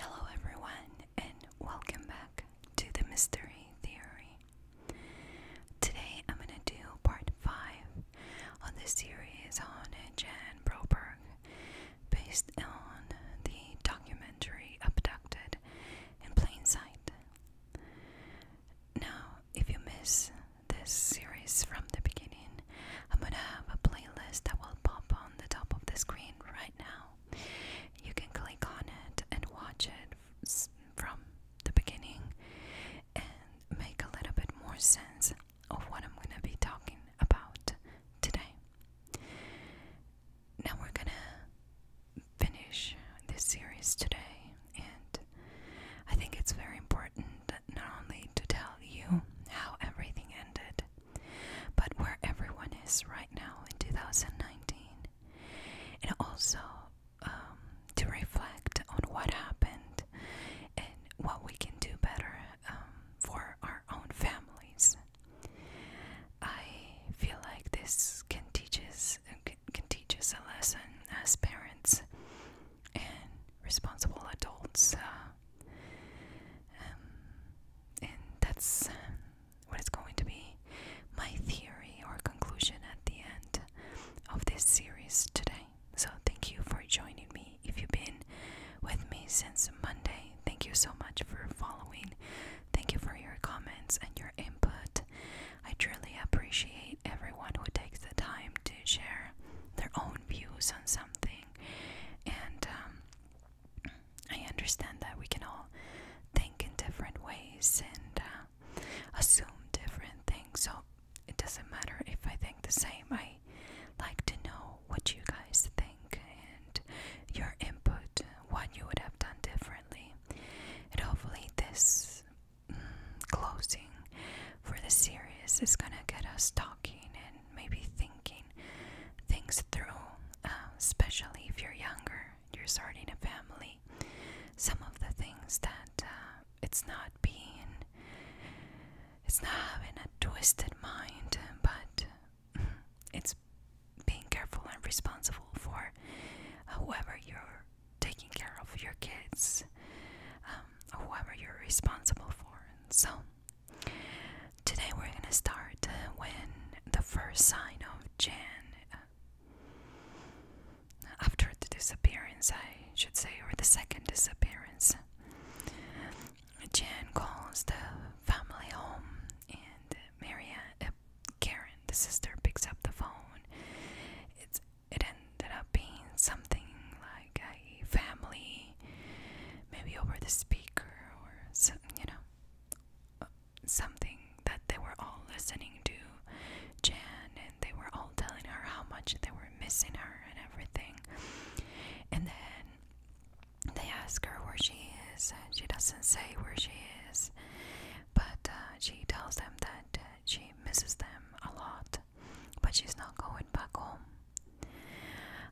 Hello, everyone, and welcome back to the Mystery Theory. Today, I'm going to do part 5 of the series on Jan Broberg, based on the documentary Abducted in Plain Sight. Now, if you miss this series from the beginning, I'm gonna have a playlist that will pop on the top of the screen right now. You can click on it and watch it from the beginning and make a little bit more sense of what I'm gonna be talking about today. Now we're gonna finish this series today, and I think it's very important not only to tell you how everything ended, but where everyone is right now in 2019, and also um, to reflect on what happened and what we can do better um, for our own families. I feel like this can teach can teach us a lesson as parents and responsible adults. Uh, um, and that's um, what is going to be my theory or conclusion at the end of this series today. So, thank you for joining me. If you've been with me since Monday, thank you so much for following. Thank you for your comments and your input. I truly appreciate everyone who takes the time to share their own views on something and um, I understand that we can all think in different ways and uh, assume different things. So it doesn't matter if I think the same. I like to know what you guys think and your input, what you would have done differently. And hopefully, this mm, closing for the series is gonna get us talking and maybe thinking things through, um, especially if you're younger, you're starting a family. Some of the things that uh, it's not being, it's not having a twisted mind, but it's being careful and responsible for whoever you're taking care of your kids, um, whoever you're responsible for. And so Today we're gonna start when the first sign of Jan, after the disappearance, I should say, or the second disappearance, Jan calls the family home, and Marianne, uh, Karen, the sister, picks up the phone. It's it ended up being something like like a family, maybe over the speaker or some, you know, something that they were all listening to Jan and they were all telling her how much they were missing her and everything. And then they ask her where she is, and she doesn't say where she is, but uh, she tells them that uh, she misses them a lot but she's not going back home.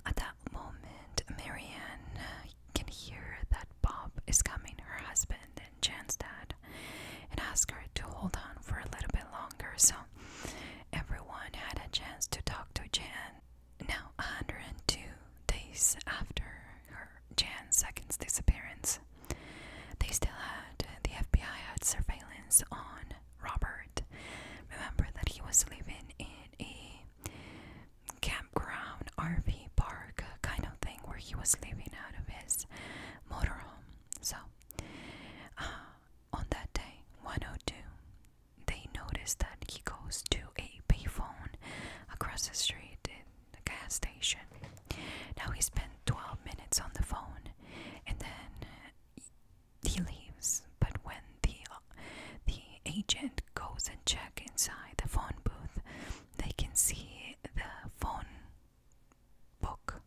At that moment, Marianne uh, can hear that Bob is coming, her husband and Jan's dad, and ask her to hold on for a little bit longer. So everyone had a chance to talk to Jan. Now, 102 days after Jan's second disappearance, they still had uh, the FBI had surveillance on Robert. Remember that he was living in a campground, RV park uh, kind of thing where he was living out of his motorhome. So, uh, on that day, 102, they noticed that he goes to a payphone across the street at the gas station. Now he spent 12 minutes on the phone and then he leaves, but when the the agent goes and checks inside the phone booth, they can see the phone book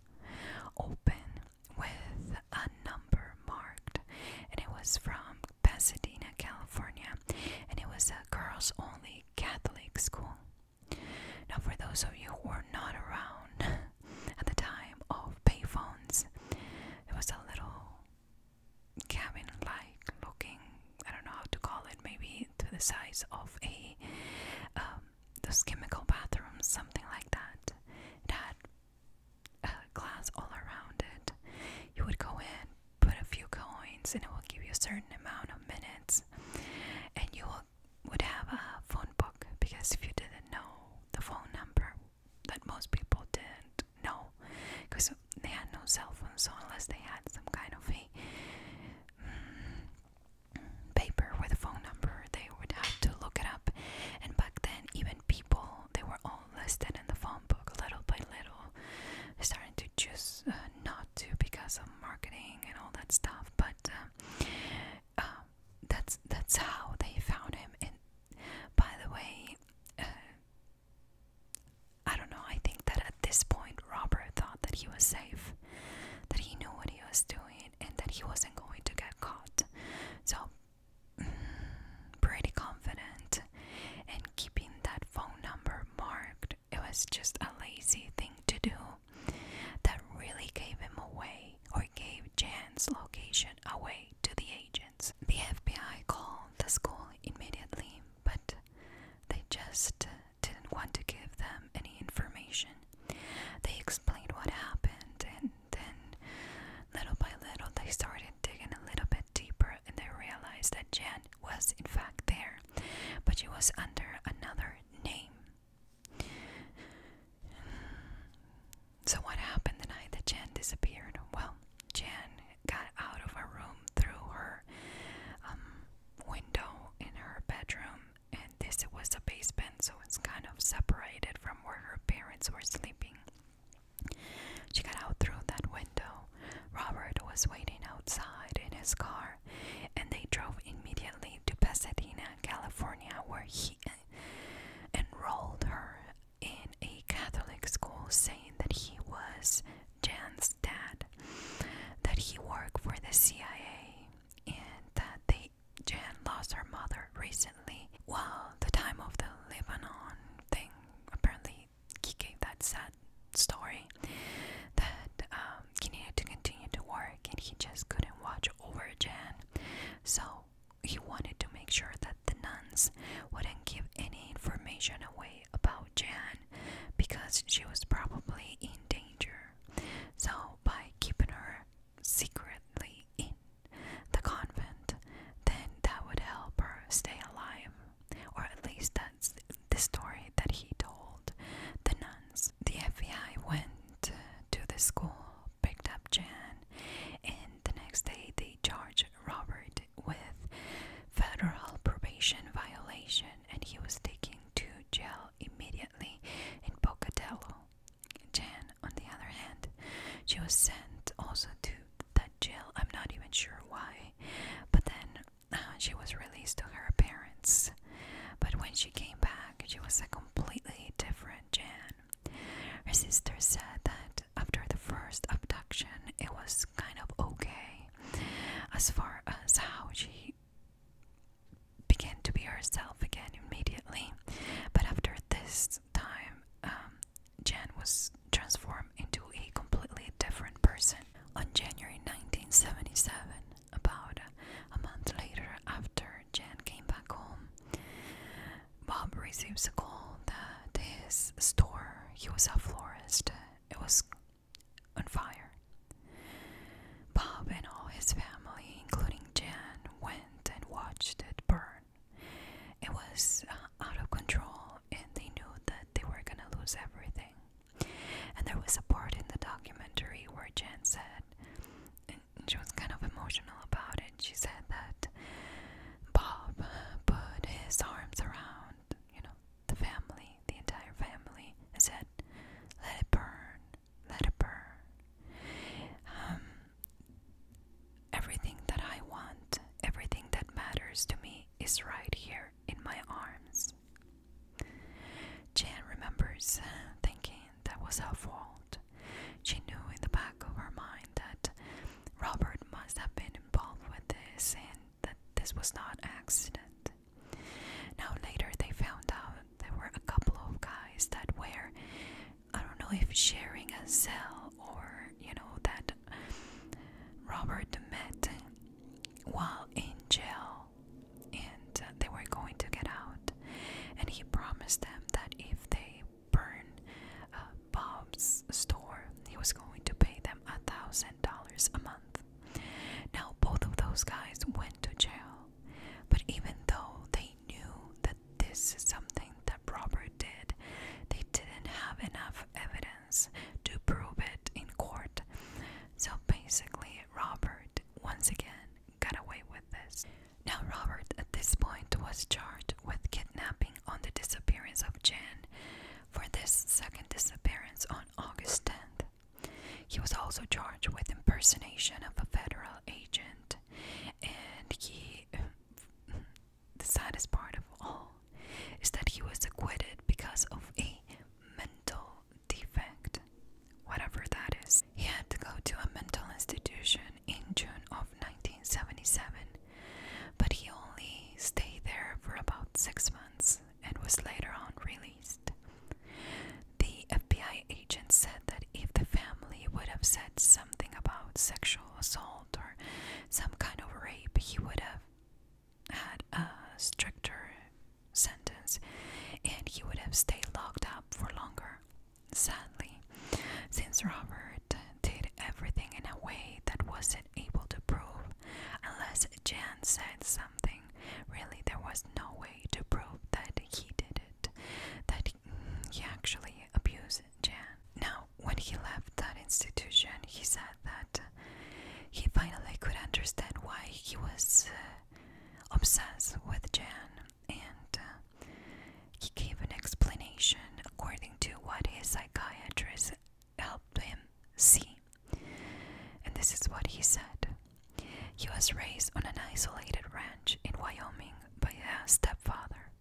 open with a number marked, and it was from Pasadena, California, and it was a girls-only Catholic school. Now, for those of you who are not around at the time of payphones, it was a little cabin like looking I don't know how to call it, maybe to the size of a um, those chemical bathrooms, something like that. It had glass all around it. You would go in, put a few coins, and it will give you a certain amount of minutes. And you will, would have a phone book because if you didn't know the phone number that most people didn't know because they had no cell phones, so unless they had some kind of a mm, paper with a phone number, they would have to look it up. And back then, even people they were all listed in the phone book little by little, starting to choose uh, not to because of marketing and all that stuff. But uh, uh, that's that's how they found him. And by the way, uh, I don't know, I think that at this point Robert thought that he was safe, that he knew what he was doing, and that he wasn't going to get caught. So, mm, pretty confident, and keeping that phone number marked, it was just a lazy thing to do that really gave him away or gave Jan's location away to the agents. The FBI called the school immediately, but they just didn't want to give them any information. They explained what happened, and then little by little they started digging a little bit deeper and they realized that Jan was in fact there, but she was under another name. So, what happened the night that Jan disappeared? Well, Jan got out of her room through her um, window in her bedroom, and this was the basement, so it's kind of separated from where her parents were sleeping. She got out through that window. Robert was waiting outside in his car, and they drove immediately to Pasadena, California, where he enrolled her in a Catholic school saying that he was Jan's dad, that he worked for the CIA, and that they Jan lost her mother recently. Well, the time of the Lebanon thing, apparently he gave that sad story that um, he needed to continue to work and he just couldn't watch over Jan. So he wanted to make sure that the nuns wouldn't give any information away about Jan because she was probably in danger. So, by keeping her secretly in the convent, then that would help her stay alive, or at least that's the story that he told the nuns. The FBI went to the school picked up Jan, and the next day they charged Robert with federal probation violation, and he was taken to jail immediately in Pocatello. Jan, on the other hand, she was sent also to that jail. I'm not even sure why, but then uh, she was released to her parents. But when she came back, she was a completely different Jan. Her sister said that after the first abduction, it was kind of okay as far as how she began to be herself again immediately. But after this time, um, Jan was transformed into a completely different person. On January 1977, about a month later, after Jan came back home, Bob receives a call that his store, he was a florist, it was on fire. Bob and all his family, including Jan, went and watched it burn. It was uh, out of control, and they knew that they were gonna lose everything. And there was a part in the documentary where Jan said, and she was kind of emotional about it, she said that Bob put his arms around, you know, the family, the entire family, and said, Let it burn, let it burn. Um, everything that I want, everything that matters to me is right here in my arms. Jan remembers thinking that was her fault. She knew in the back of our mind that Robert must have been involved with this and that this was not an accident. Now, later they found out there were a couple of guys that were, I don't know if sharing a cell or, you know, that Robert met while in jail and they were going to get out. And he promised them that if they burn uh, Bob's store. He was going to pay them a thousand dollars a month. Now, both of those guys went to jail, but even though they knew that this is something that Robert did, they didn't have enough evidence to prove it in court. So basically, Robert once again got away with this. Now, Robert at this point was charged with kidnapping on the disappearance of Jan for this second disappearance on August 10th. He was also charged with impersonation of a federal agent, and he. The saddest part of all is that he was acquitted because of a mental defect, whatever that is. He had to go to a mental institution in June of 1977 but he only stayed there for about six months and was later on released. The FBI agent said that if the family would have said something about sexual assault or some kind of rape, he would have had a stricter sentence and he would have stayed locked up for longer. Sadly, since Robert did everything in a way that wasn't able to prove, unless Jan said something. Really, there was no way to prove that he did it, that he actually abused Jan. Now, when he left that institution, he said that he finally could understand why he was uh, obsessed with Jan and uh, he gave an explanation according to what his psychiatrist helped him see. And this is what he said He was raised on an isolated ranch in Wyoming by a stepfather.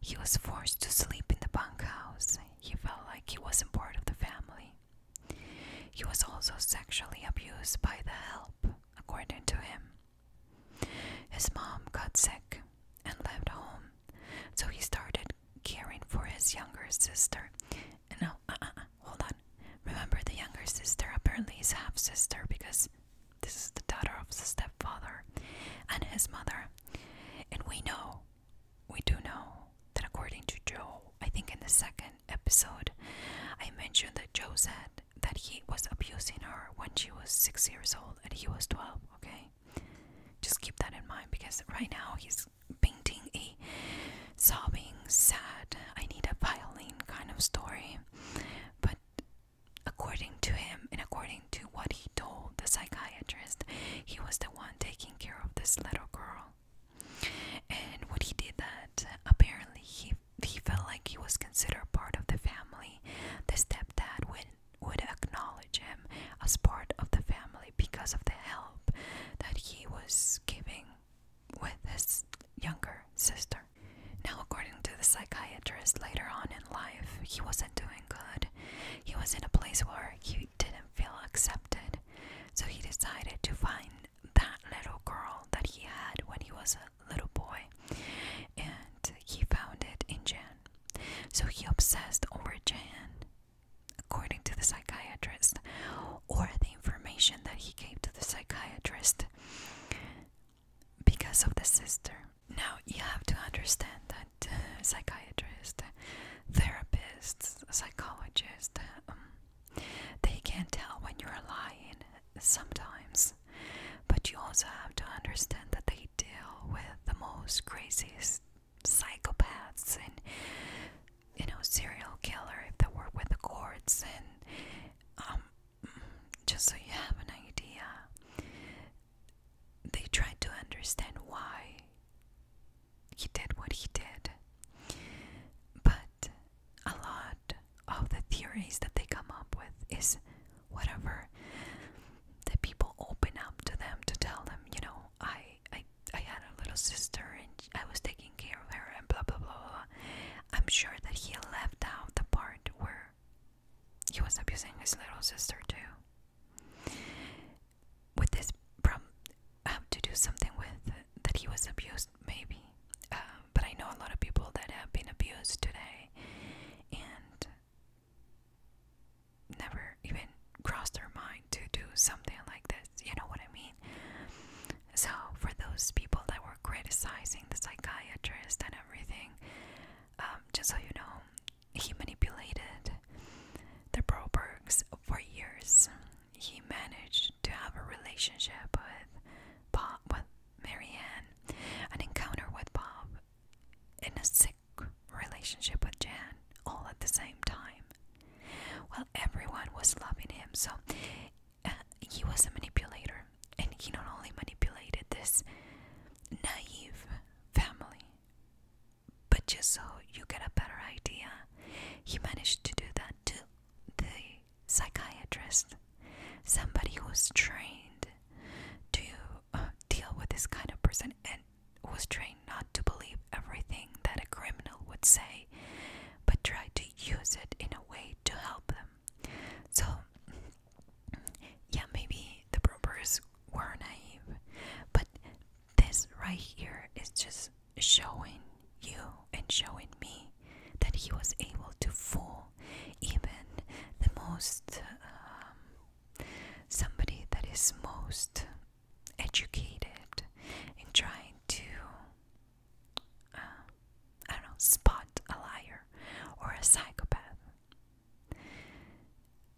He was forced to sleep in the bunkhouse. He felt like he wasn't part of the family. He was also sexually abused by the help, according to him. His mom got sick and left home so he started caring for his younger sister. And no, uh, uh, uh, hold on. Remember, the younger sister apparently is half sister because this is the daughter of the stepfather and his mother. And we know, we do know that according to Joe, I think in the second episode, I mentioned that Joe said that he was abusing her when she was six years old and he was 12, okay? Just keep that in mind because right now he's painting a sobbing, sad, I need a violin kind of story. But according to him and according to what he told the psychiatrist, he was the one taking care of this little girl. And when he did that, apparently he he felt like he was considered part of the family. The stepdad would would acknowledge him as part of the family because of the help that he was giving with his younger sister. Now, according to the psychiatrist, later on in life, he wasn't doing good. He was in a place where he didn't feel accepted, so he decided to find that little girl that he had when he was a little boy, and he found it in Jan. So he obsessed over Jan, according to the psychiatrist, or the information that he gave to the psychiatrist because of the sister. Now, you have to understand that uh, psychiatrists, therapists, psychologists, um, they can not tell when you're lying sometimes. But you also have to understand that they deal with the most craziest psychopaths and you know serial killers that work with the courts and um, just so you have an idea they try to understand why he did what he did but a lot of the theories that they come up with is whatever the people open up to them to tell them you know i i i had a little sister and i was taking care of her and blah blah blah, i'm sure that he left out the part where he was abusing his little sister too with this problem um, to do something with that he was abused maybe um, but i know a lot of people that have been abused today and never even crossed their mind to do something like this. You know what I mean? So, for those people that were criticizing the psychiatrist and everything, um, just so you know, he manipulated the Brobergs for years. He managed to have a relationship with Bob, with Marianne, an encounter with Bob, in a sick relationship with Jan all at the same time. Well, everyone was loving him, so uh, he was a manipulator, and he not only manipulated this naive family, but just so you get a better idea, he managed to do that to the psychiatrist, somebody who's trained to uh, deal with this kind of person and was trained not to believe everything that a criminal would say, but tried to use it in a way to help them. So, yeah, maybe the robbers were naive, but this right here is just showing you and showing me that he was able to fool even the most um, somebody that is most educated in trying to, uh, I don't know, spot a liar or a psychopath.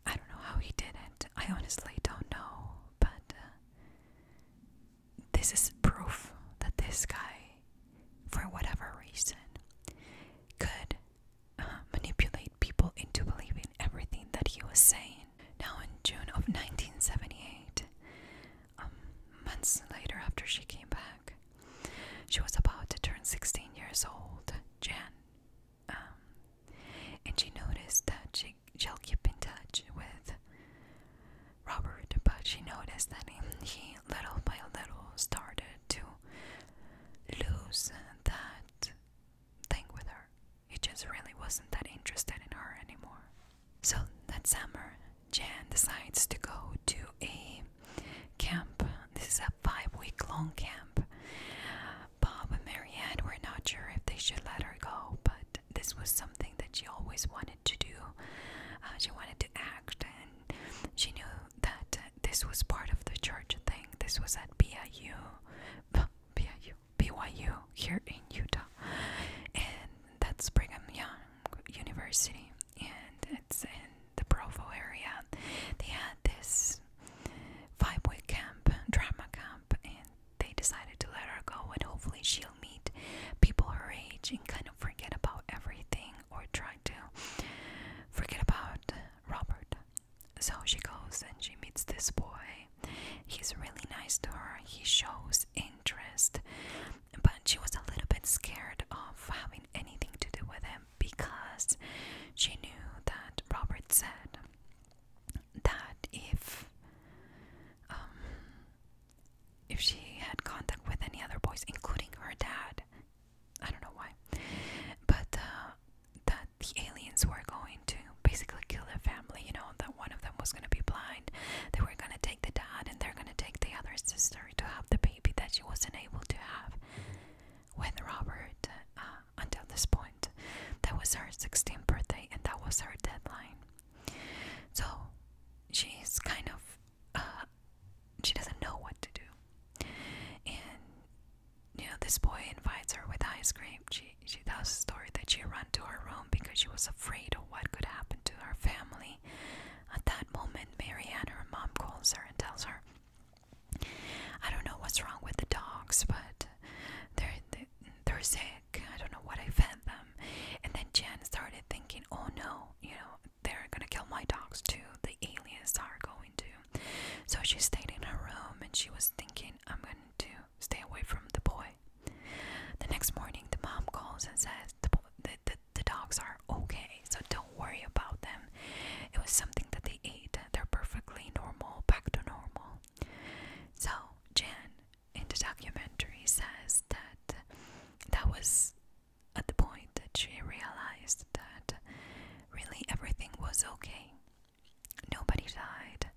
I don't know how he did it. I honestly don't know, but uh, this is proof that this guy, for whatever reason, could manipulate people into believing everything that he was saying. Now, in June of 1978, um, months later after she came back, she was about to turn 16 years old, Jan, um, and she noticed that she, she'll keep in touch with Robert, but she noticed that he, he little by little started to lose that thing with her. He just really wasn't that interested in her anymore. So that summer, Jan decides to go to a camp. This is a five week long camp. Bob and Marianne were not sure if they should let her go, but this was something that she always wanted to do. Uh, she wanted to act, and she knew that this was part of the church thing. This was at BIU, BIU, BYU here in Utah, and that's Brigham Young University, and it's in the Provo area. They had this five-week camp, drama camp, and they decided to let her go, and hopefully she'll meet people her age and kind of forget about everything or try to forget about Robert so she goes and she meets this boy. He's really nice to her, he shows interest, but she was a little bit scared of having anything to do with him because she knew that Robert said that if um, if she had contact with any other boys, including her dad, I don't know why, but uh, that the aliens were going to basically kill their family. You know that one of them was going to be blind. They were going to take the dad, and they're going to take the other sister to have the baby that she wasn't able to have with Robert. Uh, until this point, that was her 16th birthday, and that was her deadline. So she's kind of uh, she doesn't know what to do, and you know, this boy invites her with ice cream. She she tells a story that she ran to her room because she was afraid of what could happen to her family. At that moment, Marianne, her mom, calls her and tells her, "I don't know what's wrong with the dogs, but they're they're sick. I don't know what I fed them." And then Jen started thinking, "Oh no, you know, they're gonna kill my dogs too. The aliens are going to." So she stayed in her room and she was thinking, I'm going to stay away from the boy. The next morning, the mom calls and says, The, dogs are okay, so don't worry about them. It was something that they ate, they're perfectly normal, back to normal. So, Jen in the documentary says that that was at the point that she realized that really everything was okay. Nobody died.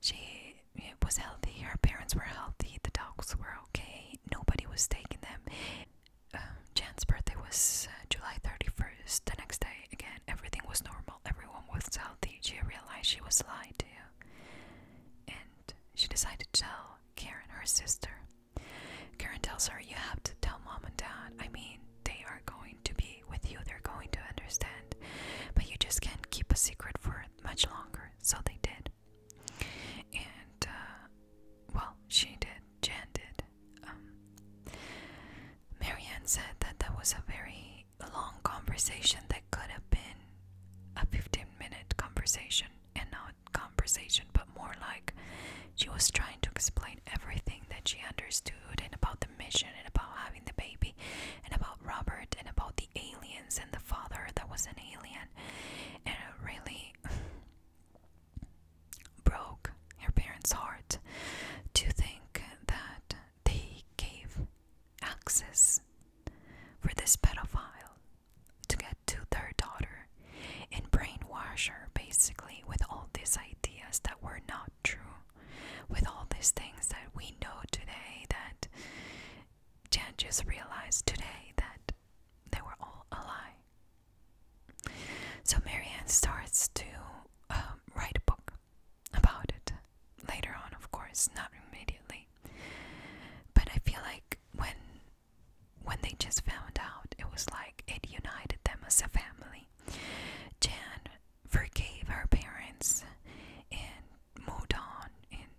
She was healthy, her parents were healthy, the dogs were okay, nobody was taking them. Um, Jan's birthday was uh, July 31st. The next day, again, everything was normal, everyone was healthy. She realized she was lied to, and she decided to tell Karen, her sister. Karen tells her, You have to tell mom and dad. I mean, they are going to be with you, they're going to understand. But you just can't keep a secret for much longer, so they did. And, uh, well, she did, Jan did. Um, Marianne said that that was a very long conversation that could have been a 15 minute conversation, and not conversation, but more like she was trying to explain everything that she understood and about the mission and about having the baby and about Robert and about the aliens and the father that was an alien and it really broke her parents' heart to think that they gave access for this pedophile to get to their daughter and brainwash her basically with all these ideas that were not true with all these things that we know today that Jan just realized today that they were all a lie. So Marianne starts to um, write a book about it later on, of course, not immediately. But I feel like when when they just found out, it was like it united them as a family. Jan forgave her parents and moved on, and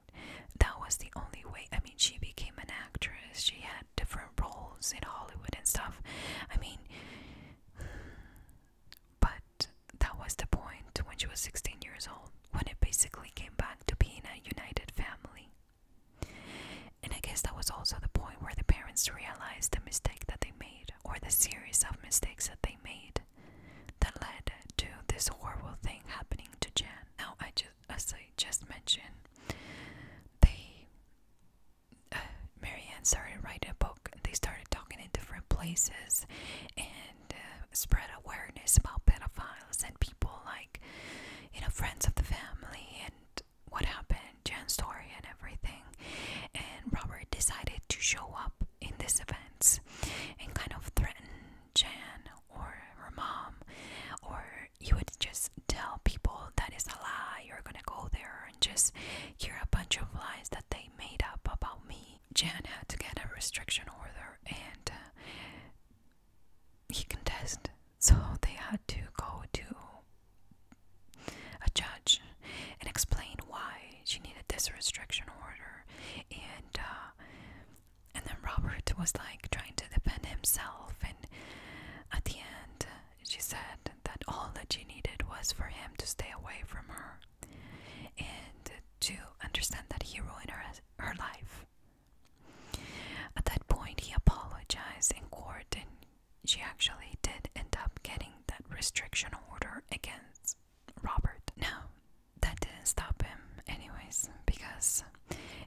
that was the only way. I mean, she became an actress, she had different roles in Hollywood and stuff. I mean, but that was the point when she was 16 years old, when it basically came back to being a united family. And I guess that was also the point where the parents realized the mistake that they made or the series of mistakes that they made that led to this horrible thing happening to Jan. Now, I just, as I just mentioned, they, uh, Marianne started writing a book. They started talking in different places and uh, spread awareness about pedophiles and people like, you know, friends of the family and what happened and story and everything. And Robert decided to show up in this event and kind of threaten Jan or her mom, or you would just tell people that is a lie. You're gonna go there and just hear a bunch of lies that they made up about me. Jan had to get a restriction order and uh, he contested, so they had to go to a judge and explain why she needed this restriction order and uh, and then Robert was like trying to defend himself and at the end she said that all that she needed was for him to stay away from her and to understand that he ruined her, her life. At that point, he apologized in court and she actually did end up getting that restriction order against Robert. Now, that didn't stop him, anyways, because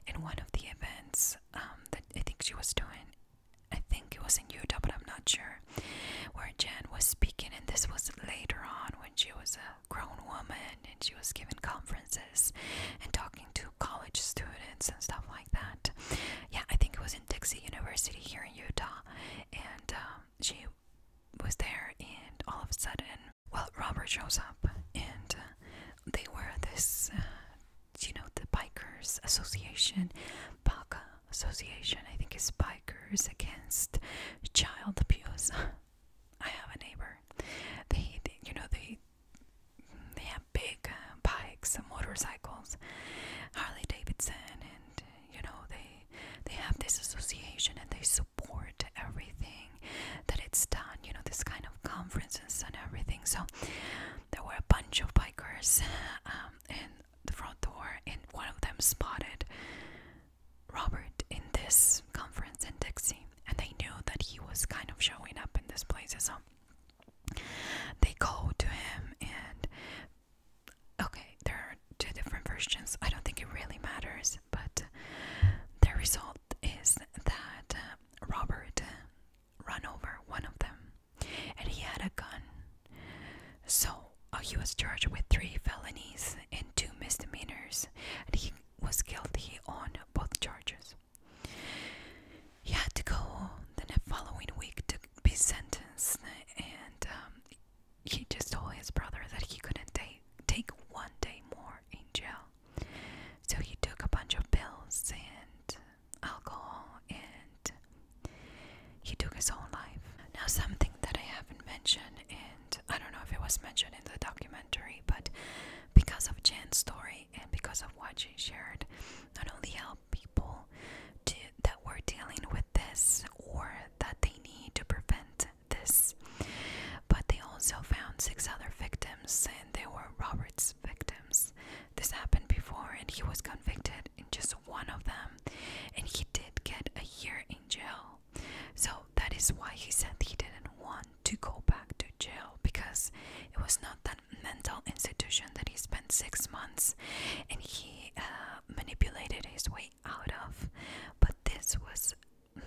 in one of the events um, that I think she was doing, I think it was in Utah, but I'm not sure, where Jen was speaking, and this was later on when she was a grown woman and she was giving conferences and talking to college students and stuff like that. Yeah, I think it was in Dixie University here in Utah, and um, she was there, and all of a sudden, well, Robert shows up, and uh, they were this, uh, you know, the Bikers Association, BACA Association, I think it's Bikers Against Child Abuse. I have a neighbor. They, you know, they they have big uh, bikes and motorcycles, Harley Davidson, and you know they they have this association and they support everything that it's done you know this kind of conferences and everything so there were a bunch of bikers um, in the front door and one of them spotted Robert in this conference in Dixie and they knew that he was kind of showing up in this place so they go to him and okay, there are two different versions. I don't think it really matters, but the result is that uh, Robert ran over one of them and he had a gun. So uh, he was charged with three felonies and two misdemeanors, and he was guilty on both charges. He had to go the following week to be sentenced, and um, he just told his brother that he couldn't take take one day more in jail. So he took a bunch of pills and alcohol and he took his own life. Now something that I haven't mentioned and I don't know if it was mentioned in the documentary, but because of Jan's story and because of what she shared, not only helped people to, that were dealing with this or that they need to prevent this. But they also found six other victims, and they were Robert's victims. This happened before, and he was convicted in just one of them, and he did get a year in jail. So that is why he said he didn't want to go back to jail because it was not that mental institution that he spent six months and he uh, manipulated his way out of but this was mm,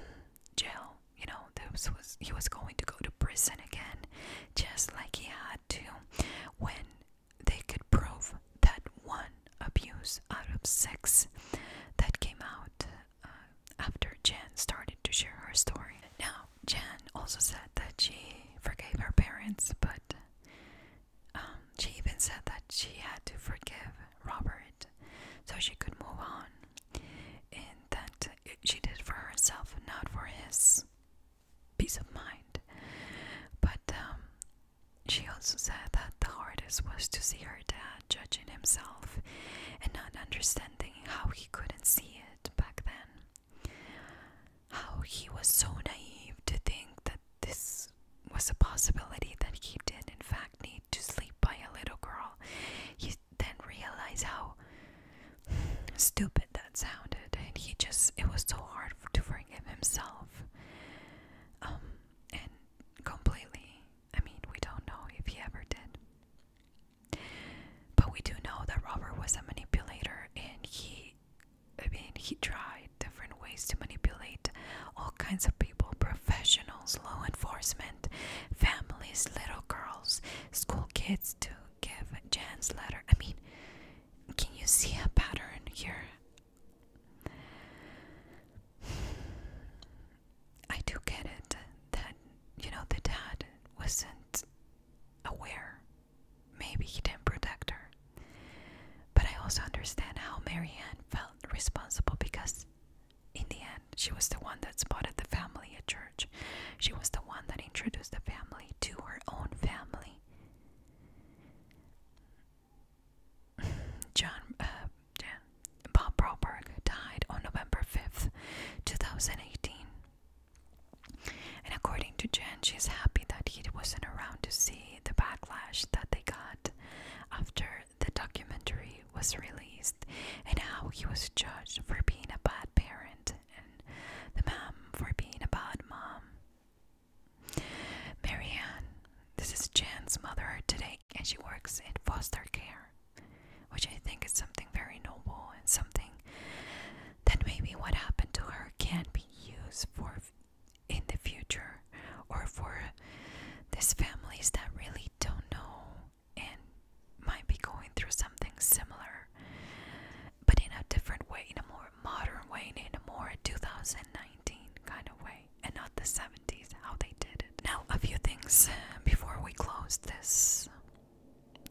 jail you know this was he was going to go to prison again just like he had to when they could prove that one abuse out of six that came out uh, after Jan started to share her story. Now, Jan also said that she forgave her parents, but um, she even said that she had to forgive Robert so she could move on, and that she did for herself, not for his peace of mind. But um, she also said that the hardest was to see her dad judging himself and not understanding how he couldn't see it back then how he was so naive to think that this was a possibility that he did, in fact, need to sleep by a little girl. He then realized how stupid that sounded, and he just, it was so hard for, to forgive himself. Um, and completely, I mean, we don't know if he ever did. But we do know that Robert was a manipulator and he I mean, he tried different ways to manipulate all kinds of people professionals, law enforcement, families, little girls, school kids to give Jan's letter. I mean, can you see a pattern here? I do get it that, you know, the dad wasn't aware Maybe he didn't protect her. But I also understand how Marianne felt responsible because, in the end, she was the one that spotted the family at church. She was the one that introduced the family to her own family. John, uh, Bob Broberg died on November 5th, 2018. And according to Jen, she's happy that he wasn't around to see the backlash that they got after the documentary was released and how he was judged for being a bad parent and the mom for being a bad mom. Marianne, this is Jan's mother today, and she works in foster care, which I think is something very noble and something that maybe what happened to her can be used for in the future or for these families that really don't know and might be going through something similar but in a different way in a more modern way in a more 2019 kind of way and not the 70s how they did it now a few things before we close this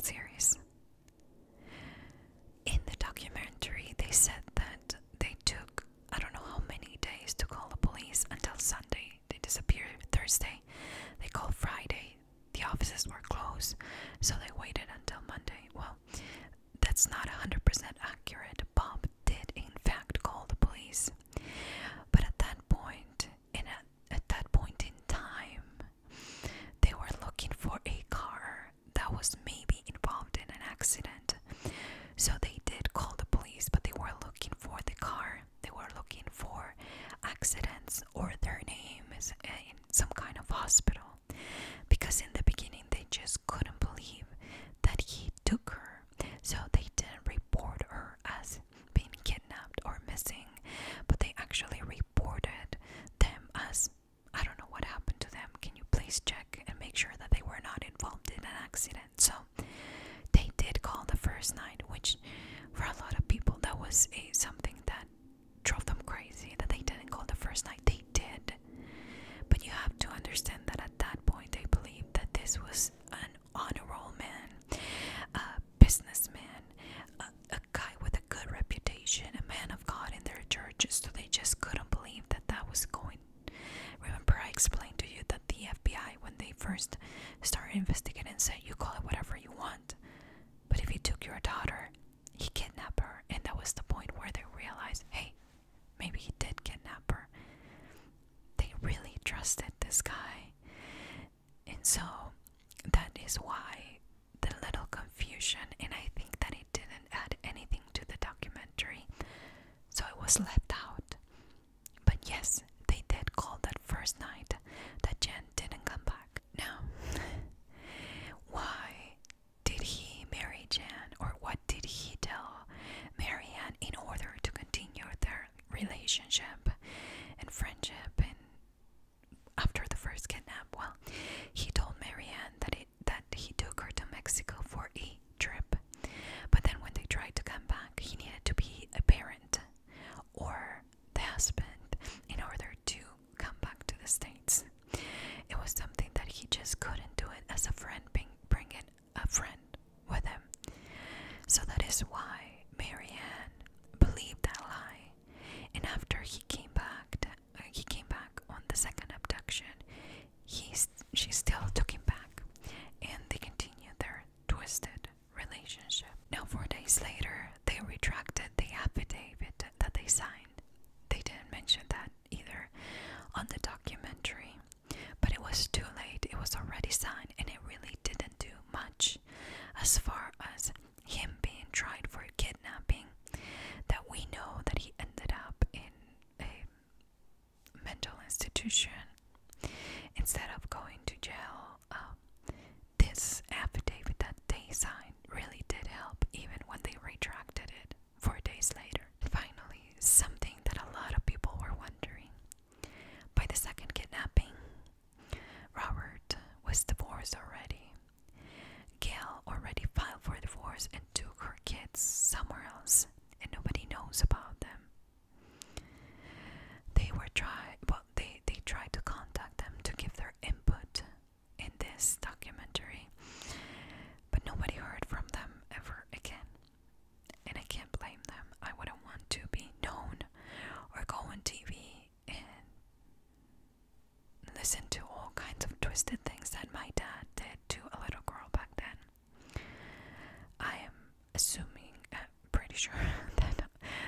series in the documentary they said that they took I don't know how many days to call the police until Sunday. They disappeared Thursday. They called Friday. The offices were closed, so they waited until Monday. Well, that's not 100% accurate. Bob did, in fact, call the police. But at that point, in a, at that point in time, they were looking for a car that was maybe involved in an accident. So they did call the police, but they were looking for the car. They were looking for accidents or their names in some kind of hospital. Because in the beginning, they just couldn't believe that he took her. So they didn't report her as being kidnapped or missing, but they actually reported them as I don't know what happened to them. Can you please check and make sure that they were not involved in an accident? So they did call the first night, which for a lot of people that was a, something that drove them crazy that they didn't call the first night. They did. But you have to understand that at that point they believed that this was an honorable man, a businessman, a, a guy with a good reputation, a man of God in their churches. So they just couldn't believe that that was going Remember, I explained to you that the FBI, when they first started investigating, said you call it whatever you want. But if he took your daughter, he kidnapped her, and that was the point where they realized, hey, maybe he did kidnap her. They really trusted this guy, and so that is why the little confusion. And I think that it didn't add anything to the documentary so I was left out. But yes, they did call that first night that Jan didn't come back. Now, why did he marry Jan, or what did he tell Marianne in order to continue their relationship and friendship? And after the first kidnap, well, he told Marianne that it that he took her to Mexico for a trip. But then, when they tried to come back, he needed to be a parent or the husband in order to come back to the States. It was something that he just couldn't do it as a friend, being, bringing a friend with him. So that is why Marianne believed that lie. And after he came back, uh, he came back on the second abduction. He's she still took him back, and they continued their twisted relationship. Now, four days later, they retracted the affidavit that they signed. They didn't mention that either on the documentary, but it was too late. It was already signed, and it really didn't do much as far as him being tried for kidnapping. That we know that he ended up in a mental institution instead of going to jail. Um, this affidavit that they signed really did help, even when they retracted it four days later. Finally, something that a lot of people were wondering. By the second kidnapping, Robert was divorced already. Gail already filed for divorce and took her kids somewhere else and nobody knows about them. They were try well they, they tried to contact them to give their input in this documentary, but nobody heard from them ever again. And I can't blame them. I wouldn't want to be known or go on TV and listen to all kinds of twisted things that my dad did to a little girl back then. I am assuming, uh, pretty sure that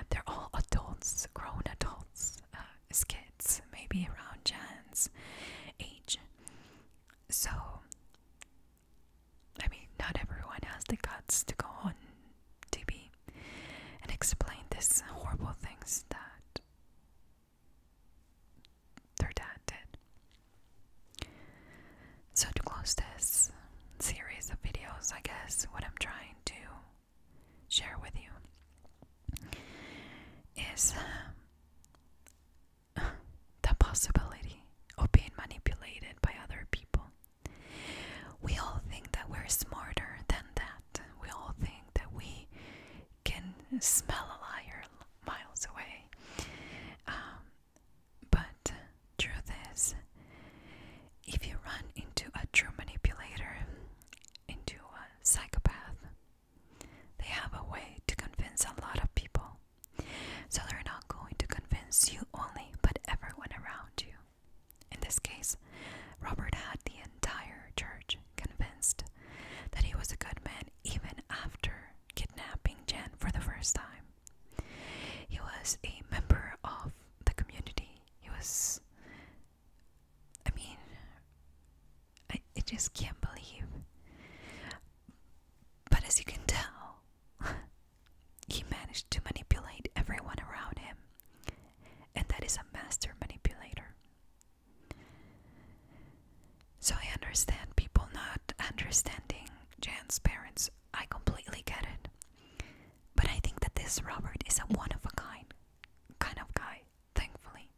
they're all adults, grown adults, as uh, kids, maybe around Jan's age. So, I mean, not everyone has the guts to go on TV and explain these horrible things that their dad did. So, to close this series of videos, I guess what I'm trying to share with you is um, the possibility of being manipulated by other people. We all think that we're smarter than that. We all think that we can smell a liar miles away. Um, but truth is, if you run into a true manipulator, into a psychopath, they have a way to convince a lot of people. So they're not going to convince you only, but everyone around you. In this case, Robert had the entire church convinced that he was a good man Jan even after kidnapping Jan for the first time. He was a member of the community. He was. I mean, I, I just can't believe. But as you can tell, he managed to manipulate everyone around him. And that is a master manipulator. So I understand people not understanding Jan's parents. I completely get it. But I think that this Robert is a one of a kind kind of guy, thankfully.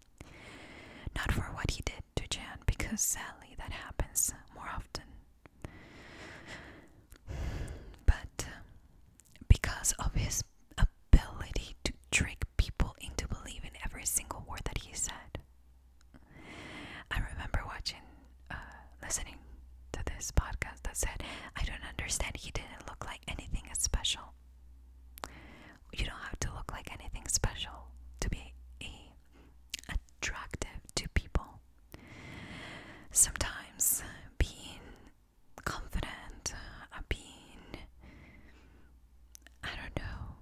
Not for what he did to Jan, because sadly that happens more often. But uh, because of his ability to trick people into believing every single word that he said, I remember watching, uh, listening to this podcast that said, I don't understand, he didn't look like anything special. You don't have to look like anything special to be attractive to people. Sometimes being confident, uh, being, I don't know,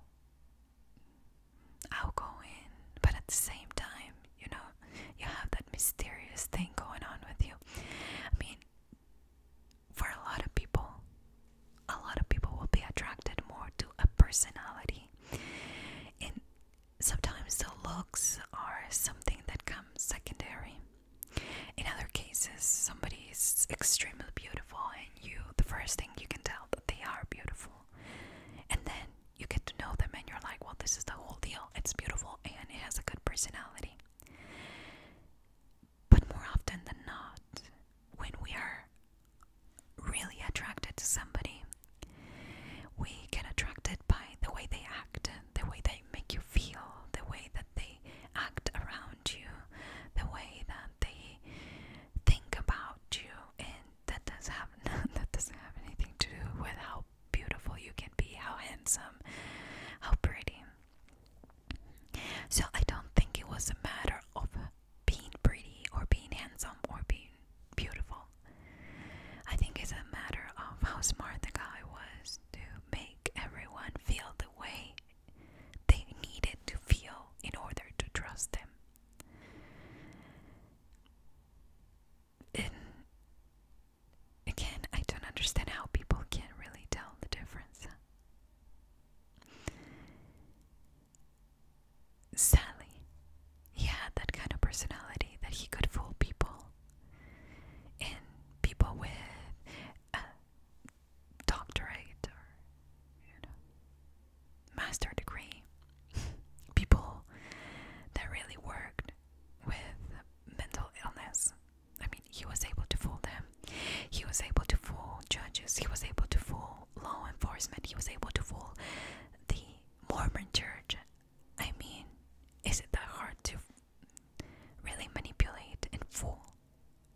outgoing, but at the same time, you know, you have that mysterious thing going on with you. I mean, for a lot of people, a lot of people will be attracted more to a personality, and sometimes the looks are something that comes secondary. In other cases, somebody is extremely beautiful, and you, the first thing you can tell that they are beautiful. And then you get to know them and you're like, well, this is the whole deal. It's beautiful and it has a good personality. But more often than not, when we are really attracted to somebody, we get attracted by the way they act, the way they make you feel, the way that they act around you, the way that they think about you, and that does have that doesn't have anything to do with how beautiful you can be, how handsome, how pretty. So I don't think it was a matter of being pretty or being handsome or being beautiful. I think it's a matter of how smart the guy was to make everyone feel the way they needed to feel in order to trust him again, I don't understand how people can really tell the difference. Sally, he had that kind of personality that he could fool people. And people with a doctorate or, you know, master degree. People that really worked with mental illness. I mean, he was able to fool them. He was able to fool judges. He was able to fool law enforcement. He was able to fool the Mormon church. I mean, is it that hard to really manipulate and fool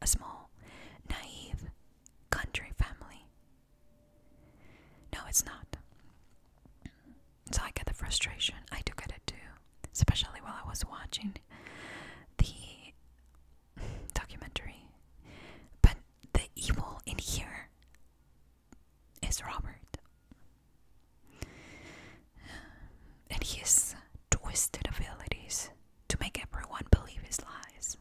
a small, naive, country family. No, it's not. So I get the frustration. I do get it too, especially while I was watching the documentary. But the evil in here is Robert. And his twisted abilities to make everyone believe his lies.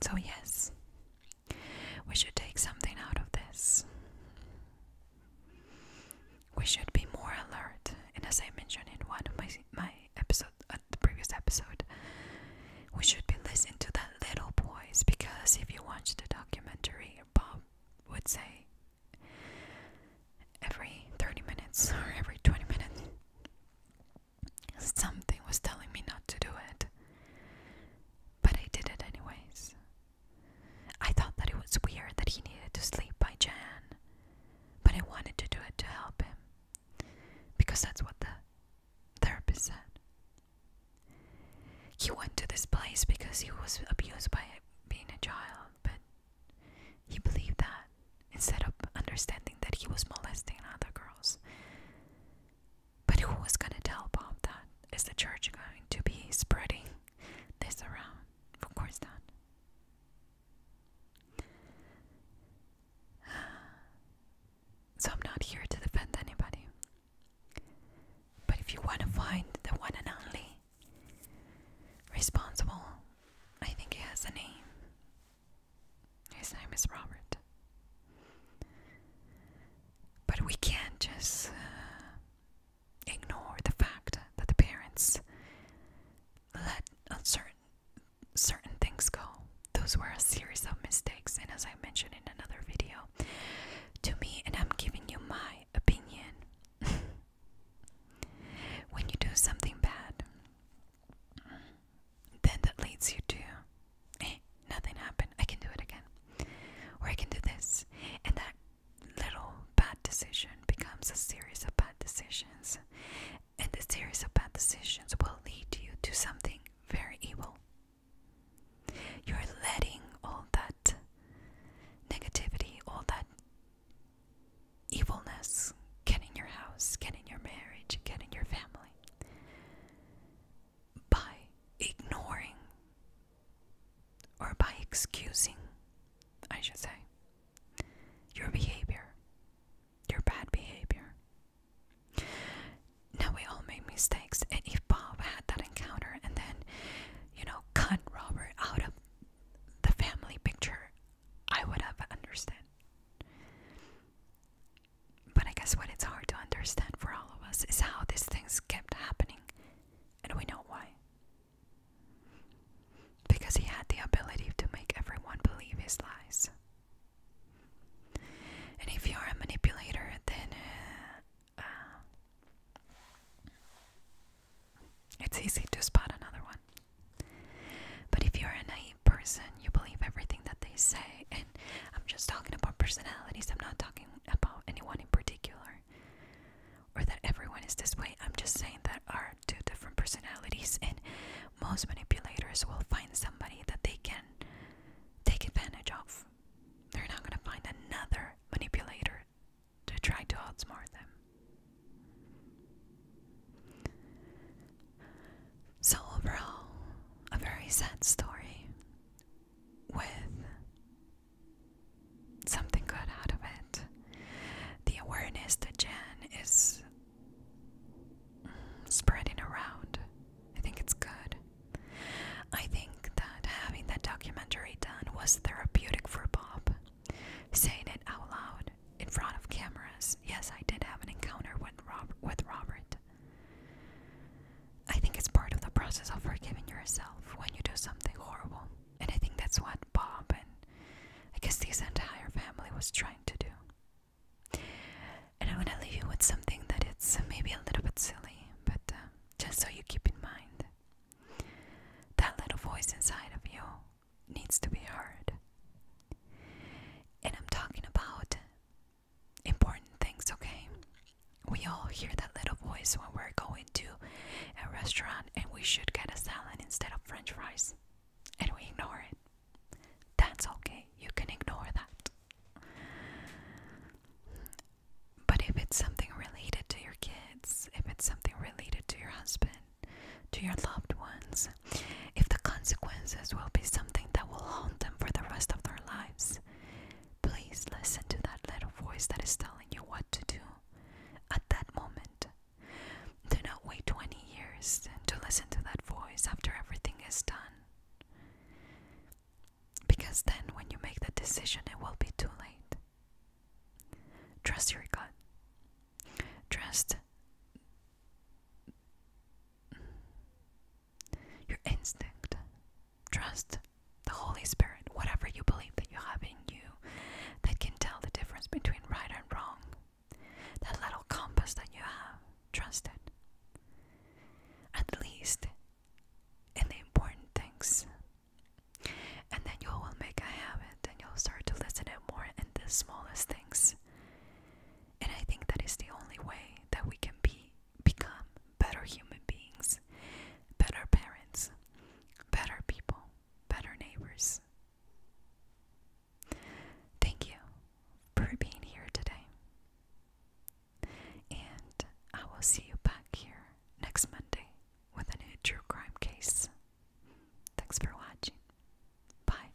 So, yes, we should take something out of this. We should be more alert, and as I mentioned in one of my my episode, uh, the previous episode, we should be listening to that little voice because if you watch the documentary, Bob would say every 30 minutes or every 20 minutes Something was telling me not to do it. But I did it anyways. I thought that it was weird that he needed to sleep by Jan, but I wanted to do it to help him because that's what the therapist said. He went to this place because he was abused by being a child, but he believed that instead of understanding that he was molesting other girls. But who was going to tell Bob that? Is the church going to be spreading this around? Of course not. So I'm not here to defend anybody. But if you want to find the one and only responsible, I think he has a name. His name is Robert. But we can't just uh, ignore the fact that the parents let uncertain certain things go. Those were a series of mistakes, and as I mentioned in another video, to me, and I'm giving you my opinion. when you do something bad, then that leads you to eh, nothing happened. I can do it again. Or I can do this. And that little bad decision becomes a series of bad decisions. And the series of bad decisions will lead you to something very evil. You're letting all that negativity, all that evilness get in your house, get in your marriage, get in your family by ignoring or by excusing, I should say, your behavior, your bad behavior. Now, we all make mistakes, and if Bob had that encounter and then, you know, cut Robert out of the family picture, I would have understood. But I guess what it's hard to understand for all of us is how these things kept happening, and we know why. Because he had the ability to make everyone believe his lies. And if you're a manipulator, then uh, uh, it's easy to spot another one. But if you're a naive person, you believe everything that they say, and I'm just talking about personalities, I'm not talking about anyone in particular, or that everyone is this way. I'm just saying that are two different personalities, and most manipulators will find somebody that they can take advantage of. They're not going to find another manipulator to try to outsmart them. So, overall, a very sad story with something good out of it. The awareness that Jen is spreading around, I think it's good. I think that having that documentary done was therapeutic for Bob. Saying it out loud in front of cameras. Yes, I did have an encounter with, Rob with Robert. I think it's part of the process of forgiving yourself when you do something horrible. And I think that's what Bob and I guess this entire family was trying to do. And i want to leave you with something that it's maybe a little bit silly, but uh, just so you keep in mind that little voice inside of you needs to be heard. And I'm talking about important things, okay? We all hear that little voice when we're going to a restaurant and we should get a salad instead of french fries, and we ignore it. That's okay, you can ignore that. But if it's something related to your kids, if it's something related to your husband, to your loved ones, if the consequences will be something that will haunt them for the rest of their lives. Please listen to that little voice that is telling you what to do at that moment. Do not wait 20 years to listen to that voice after everything is done. Because then, when you make the decision, it will be too late. Trust your gut. Trust your instinct. Trust the Holy Spirit, whatever you believe that you have in you, that can tell the difference between right and wrong. That little compass that you have, trust it. At least in the important things. And then you will make a habit and you'll start to listen it more in the smallest things. And I think that is the only way that we can be become better human beings, better parents, better people, better neighbors. Thank you for being here today. And I will see you back here next Monday with a new true crime case. Thanks for watching. Bye.